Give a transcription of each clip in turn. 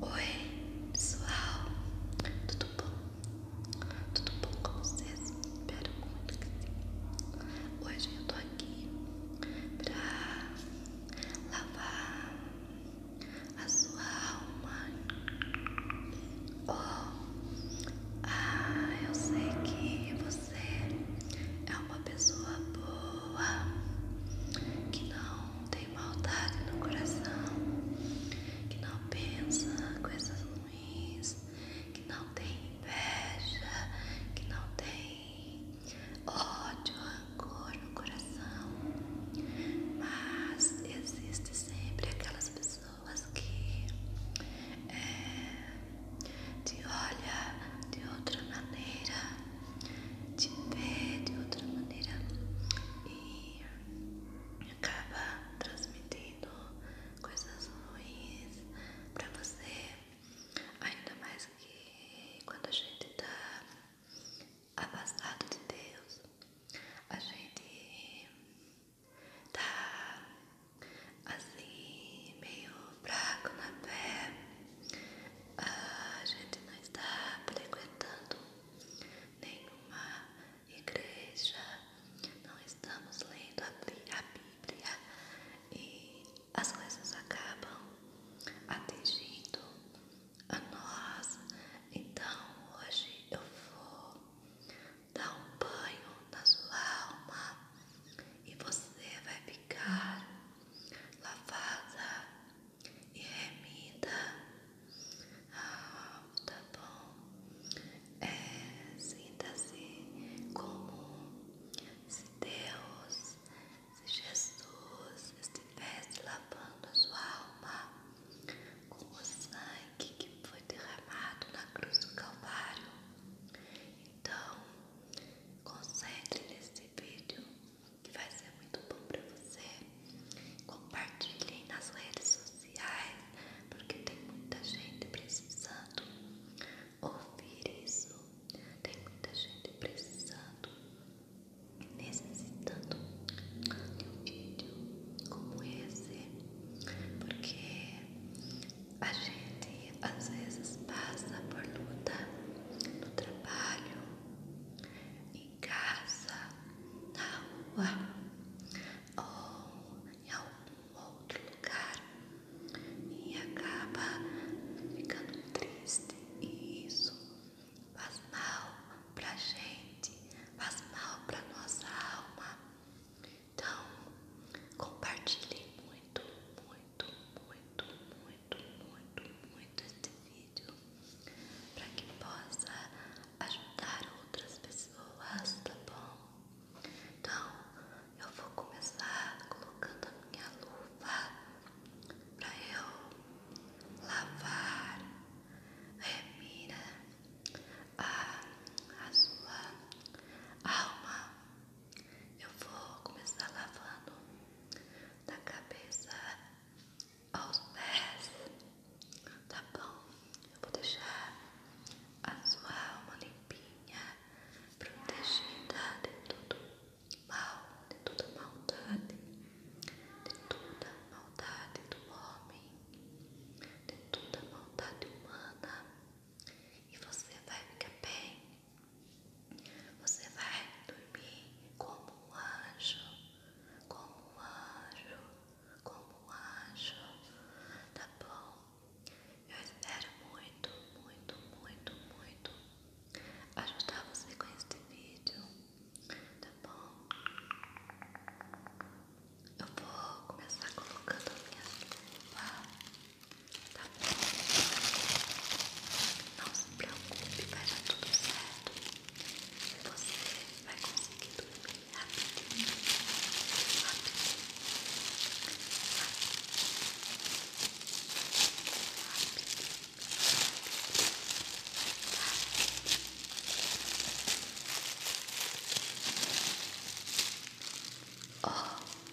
Oi, pessoal, tudo bom? Tudo bom com vocês? Espero muito que sim. Hoje eu tô aqui pra lavar a sua alma. Oh, ah, eu sei que você é uma pessoa boa que não tem tem maldade no coração, que não pensa coisas ruins, que não tem inveja, que não tem ódio, ou rancor no coração. Mas existe sempre aquelas pessoas que é, te olha de outra maneira te ver de outra maneira e acaba transmitindo coisas ruins para você, ainda mais que quando a gente tá abastado de Deus, a gente tá assim meio fraco na fé. A gente não está frequentando nenhuma igreja, não estamos lendo a Bíblia e as coisas acabam atingindo a nós. Então hoje eu vou dar um banho na sua alma e você vai ficar lavada e remita ao ah, tá bom? É, Sinta-se como se Deus, se Jesus estivesse lavando a sua alma com o sangue que foi derramado na cruz do Calvário. Então, concentre nesse vídeo que vai ser muito bom para você. Compartilhem nas redes sociais, porque tem muita gente precisando ouvir isso. Tem muita gente precisando, necessitando de um vídeo como esse, porque a gente às vezes passa por luta no trabalho trabalho, em casa, na rua ou em algum outro lugar e acaba ficando triste e isso faz mal pra gente, faz mal pra nossa alma. Então compartilhe muito, muito, muito, muito muito, muito, muito esse vídeo para que possa ajudar outras pessoas, tá bom? Então, eu vou começar colocando a minha luva para eu lavar, remira a, a sua alma. Eu vou começar lavando da cabeça aos pés, tá bom? Eu vou deixar a sua alma limpinha, protegida de tudo mal, de toda maldade, de toda maldade do homem, de toda maldade humana. E você vai ficar bem, você vai dormir como um anjo, como um anjo, como um anjo, tá bom? Eu espero muito, muito, muito, muito ajudar você com este vídeo, tá bom? Eu vou começar colocando a minha lupa Tá bom? Não se preocupe, vai dar tudo certo. Você vai conseguir dormir rapidinho. Rapidinho. Oh,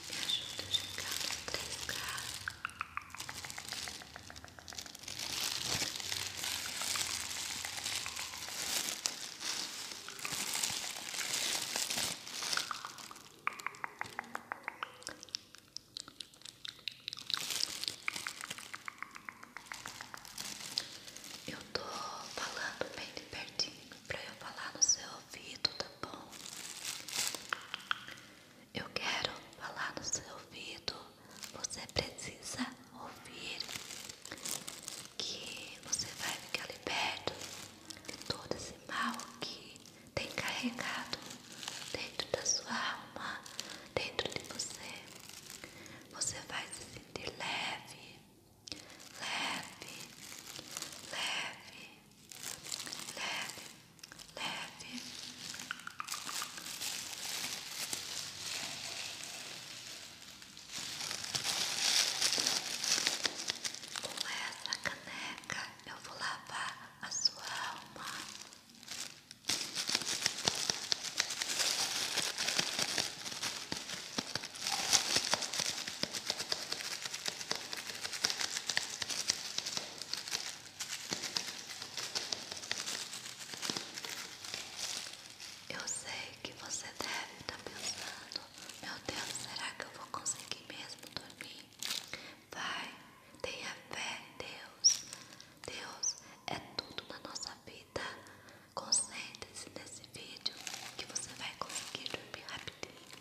me ajuda a chegar no 3K. Eu tô falando bem de pertinho para eu falar no seu ouvido, tá bom? Eu quero falar no seu ouvido. Você precisa ouvir que você vai ficar liberto de todo esse mal que tem carregado dentro da sua alma, dentro de você. Você vai se sentir leve, leve, leve leve, leve. Com essa caneca eu vou lavar a sua alma. Eu sei que você deve estar tá pensando: Meu Deus, será que eu vou conseguir mesmo dormir? Vai, tenha fé, Deus. Deus é tudo na nossa vida. Concentre-se nesse vídeo que você vai conseguir dormir rapidinho.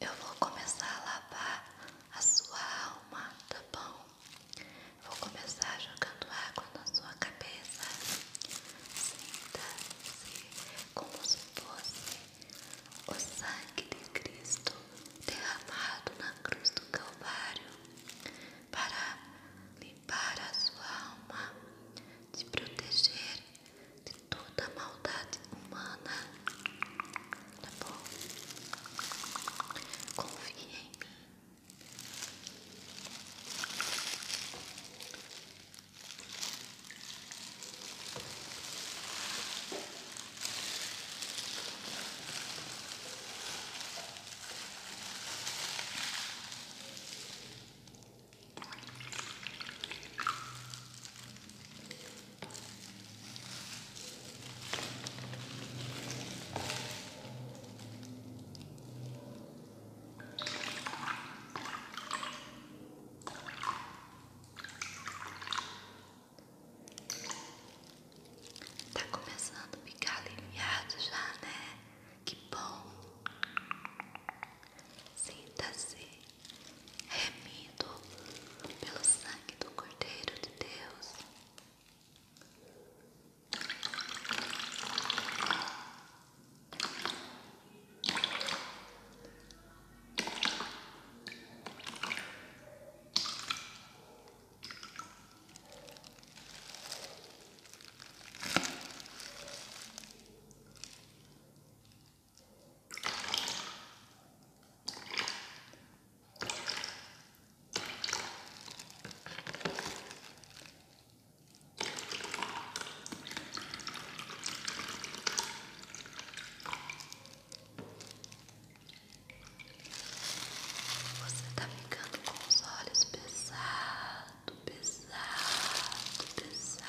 Eu vou começar a lavar a sua alma, tá bom? Vou começar jogando água na sua cabeça. Sinta-se como se fosse o sangue de Cristo derramado na cruz do Calvário para limpar a sua alma, te proteger de toda maldade humana, tá bom? Confia em mim. Tá começando a ficar aliviado já, né? Que bom. Sinta-se remido pelo sangue do Cordeiro de Deus. Você tá ficando com os olhos pesado, pesado, pesado.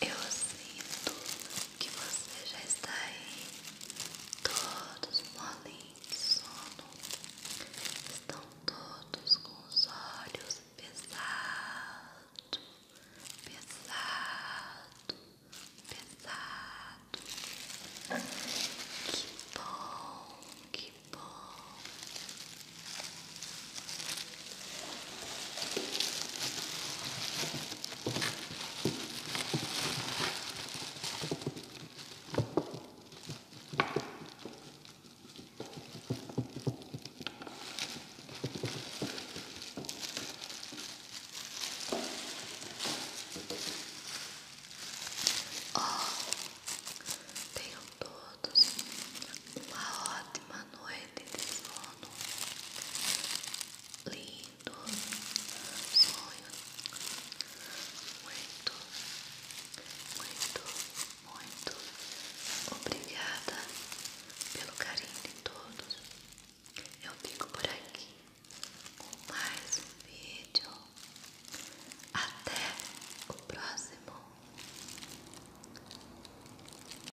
Eu sinto que você já está aí, todos molinhos de sono, estão todos com os olhos pesados, pesados, pesados. Que bom, que bom. Oh, tenham todos uma ótima ótima noite de sono, lindo sonhos, muito, muito, muito obrigada pelo carinho de todos. Eu fico por aqui com mais um vídeo. Até o próximo.